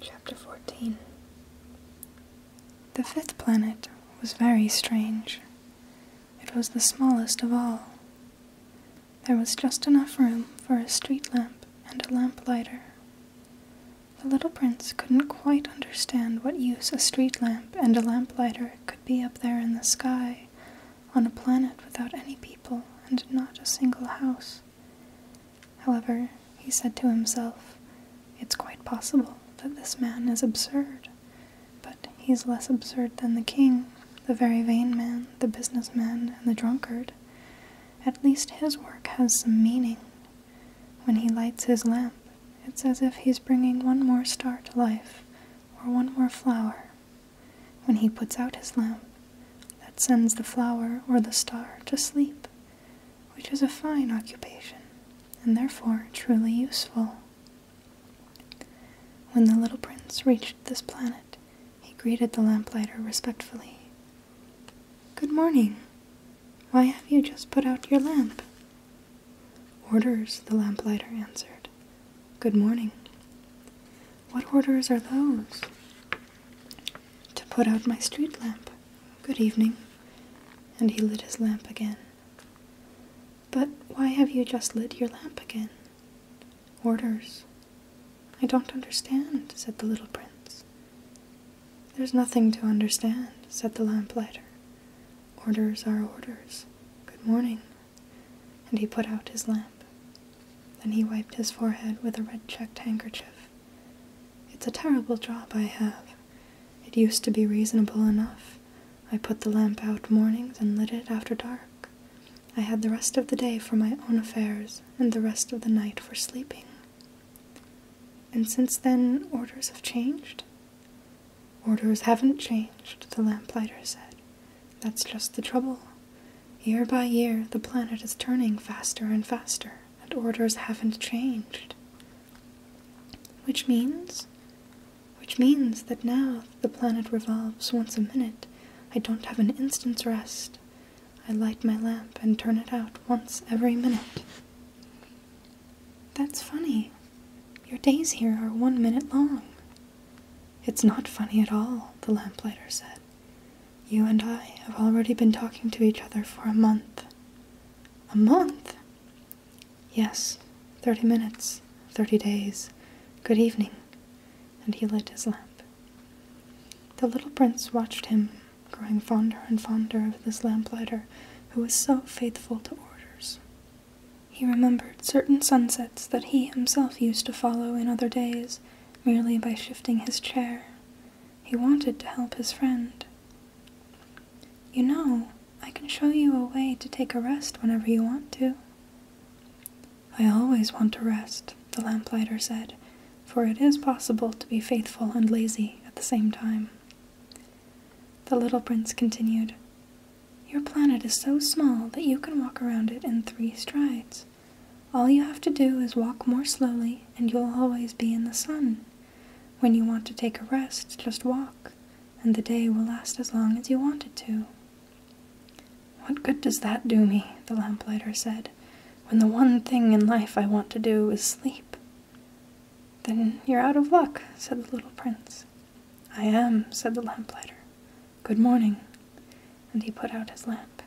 Chapter 14 The fifth planet was very strange. It was the smallest of all. There was just enough room for a street lamp and a lamplighter. The little prince couldn't quite understand what use a street lamp and a lamplighter could be up there in the sky on a planet without any people and not a single house. However, he said to himself, it's quite possible that this man is absurd, but he's less absurd than the king, the very vain man, the businessman, and the drunkard. At least his work has some meaning. When he lights his lamp, it's as if he's bringing one more star to life, or one more flower, when he puts out his lamp, that sends the flower or the star to sleep, which is a fine occupation, and therefore truly useful. When the little prince reached this planet, he greeted the lamplighter respectfully. Good morning. Why have you just put out your lamp? Orders, the lamplighter answered. Good morning. What orders are those? To put out my street lamp. Good evening. And he lit his lamp again. But why have you just lit your lamp again? Orders. I don't understand, said the little prince. There's nothing to understand, said the lamplighter. Orders are orders. Good morning and he put out his lamp. Then he wiped his forehead with a red checked handkerchief. It's a terrible job I have. It used to be reasonable enough. I put the lamp out mornings and lit it after dark. I had the rest of the day for my own affairs and the rest of the night for sleeping. And since then, orders have changed? Orders haven't changed, the lamplighter said. That's just the trouble. Year by year, the planet is turning faster and faster, and orders haven't changed. Which means? Which means that now the planet revolves once a minute. I don't have an instant's rest. I light my lamp and turn it out once every minute. That's funny. Your days here are one minute long. It's not funny at all, the lamplighter said. You and I have already been talking to each other for a month. A month? Yes, thirty minutes, thirty days. Good evening. And he lit his lamp. The little prince watched him, growing fonder and fonder of this lamplighter who was so faithful to orders. He remembered certain sunsets that he himself used to follow in other days merely by shifting his chair. He wanted to help his friend. You know, I can show you a way to take a rest whenever you want to. I always want to rest, the lamplighter said, for it is possible to be faithful and lazy at the same time. The little prince continued, Your planet is so small that you can walk around it in three strides. All you have to do is walk more slowly, and you'll always be in the sun. When you want to take a rest, just walk, and the day will last as long as you want it to. What good does that do me? the lamplighter said, when the one thing in life I want to do is sleep. Then you're out of luck, said the little prince. I am, said the lamplighter. Good morning. And he put out his lamp.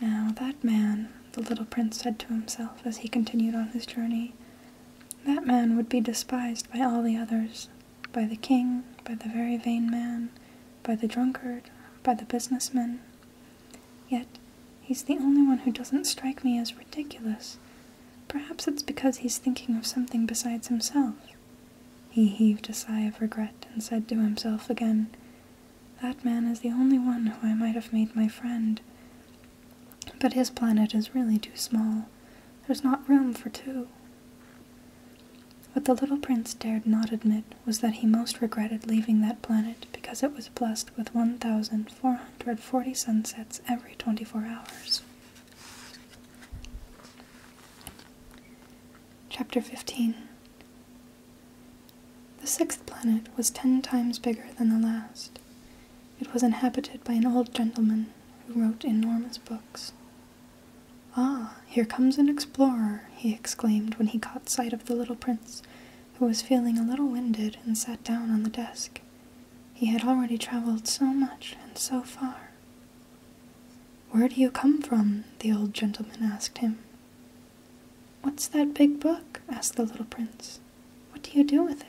Now, that man, the little prince said to himself as he continued on his journey, that man would be despised by all the others by the king, by the very vain man, by the drunkard, by the businessman, Yet, he's the only one who doesn't strike me as ridiculous. Perhaps it's because he's thinking of something besides himself. He heaved a sigh of regret and said to himself again, That man is the only one who I might have made my friend. But his planet is really too small. There's not room for two. What the little prince dared not admit was that he most regretted leaving that planet because it was blessed with 1,400 forty sunsets every 24 hours. Chapter 15 The sixth planet was ten times bigger than the last. It was inhabited by an old gentleman who wrote enormous books. Ah, here comes an explorer, he exclaimed when he caught sight of the little prince who was feeling a little winded and sat down on the desk. He had already traveled so much and so far. Where do you come from? the old gentleman asked him. What's that big book? asked the little prince. What do you do with it?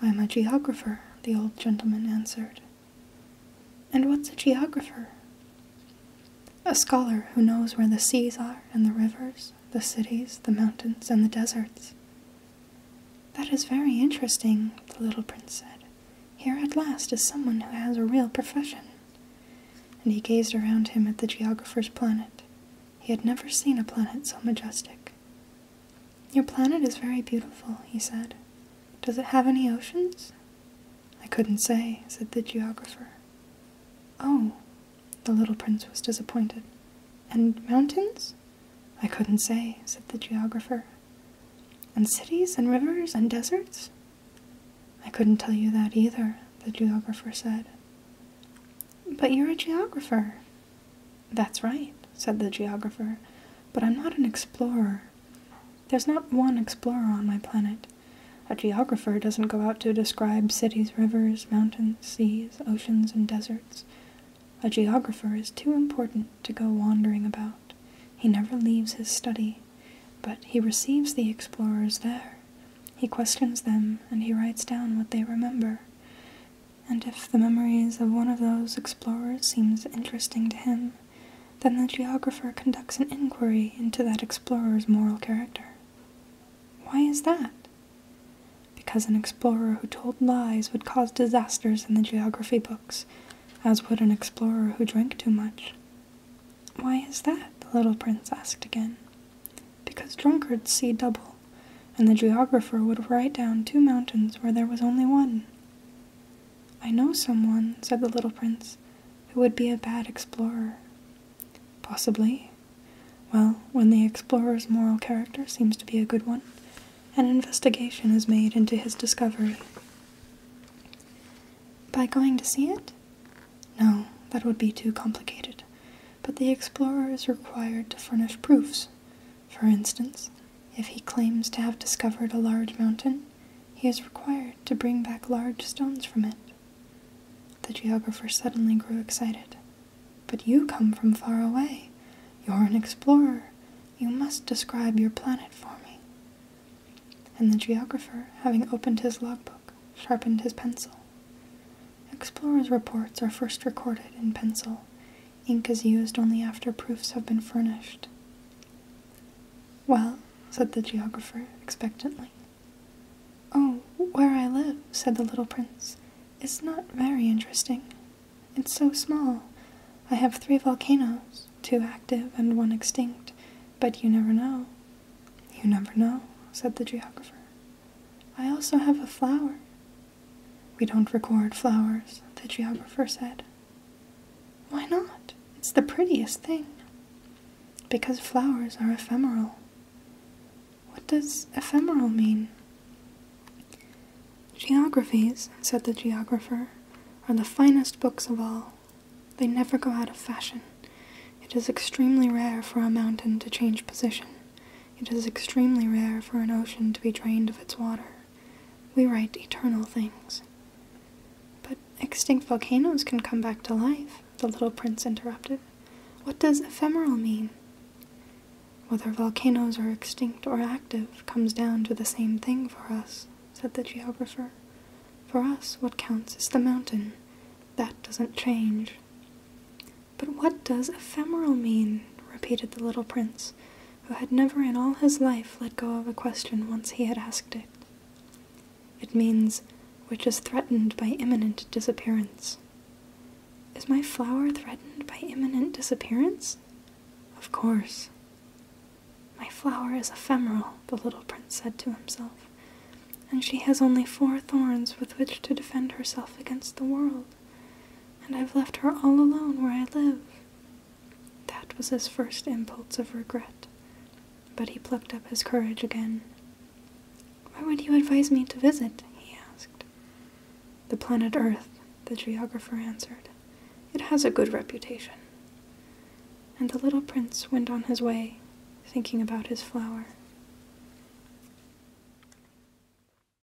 I'm a geographer, the old gentleman answered. And what's a geographer? a scholar who knows where the seas are and the rivers, the cities, the mountains, and the deserts. That is very interesting, the little prince said. Here at last is someone who has a real profession. And he gazed around him at the geographer's planet. He had never seen a planet so majestic. Your planet is very beautiful, he said. Does it have any oceans? I couldn't say, said the geographer. Oh, the little prince was disappointed. And mountains? I couldn't say, said the geographer. And cities and rivers and deserts? I couldn't tell you that either, the geographer said. But you're a geographer. That's right, said the geographer, but I'm not an explorer. There's not one explorer on my planet. A geographer doesn't go out to describe cities, rivers, mountains, seas, oceans, and deserts. A geographer is too important to go wandering about. He never leaves his study, but he receives the explorers there. He questions them and he writes down what they remember. And if the memories of one of those explorers seems interesting to him, then the geographer conducts an inquiry into that explorer's moral character. Why is that? Because an explorer who told lies would cause disasters in the geography books, as would an explorer who drank too much. Why is that? the little prince asked again. Because drunkards see double, and the geographer would write down two mountains where there was only one. I know someone, said the little prince, who would be a bad explorer. Possibly. Well, when the explorer's moral character seems to be a good one, an investigation is made into his discovery. By going to see it? No, that would be too complicated. But the explorer is required to furnish proofs. For instance, if he claims to have discovered a large mountain, he is required to bring back large stones from it. The geographer suddenly grew excited. But you come from far away. You're an explorer. You must describe your planet for me. And the geographer, having opened his logbook, sharpened his pencil. Explorers' reports are first recorded in pencil. Ink is used only after proofs have been furnished. Well, said the geographer expectantly. Oh, where I live, said the little prince, is not very interesting. It's so small. I have three volcanoes, two active and one extinct, but you never know. You never know, said the geographer. I also have a flower. We don't record flowers, the geographer said. Why not? It's the prettiest thing. Because flowers are ephemeral. What does ephemeral mean? Geographies, said the geographer, are the finest books of all. They never go out of fashion. It is extremely rare for a mountain to change position. It is extremely rare for an ocean to be drained of its water. We write eternal things. But extinct volcanoes can come back to life, the little prince interrupted. What does ephemeral mean? Whether volcanoes are extinct or active comes down to the same thing for us, said the geographer. For us, what counts is the mountain. That doesn't change. But what does ephemeral mean? repeated the little prince who had never in all his life let go of a question once he had asked it. It means, which is threatened by imminent disappearance. Is my flower threatened by imminent disappearance? Of course. My flower is ephemeral, the little prince said to himself, and she has only four thorns with which to defend herself against the world and I've left her all alone where I live. That was his first impulse of regret, but he plucked up his courage again. Where would you advise me to visit? he asked. The planet Earth, the geographer answered. It has a good reputation. And the little prince went on his way, thinking about his flower.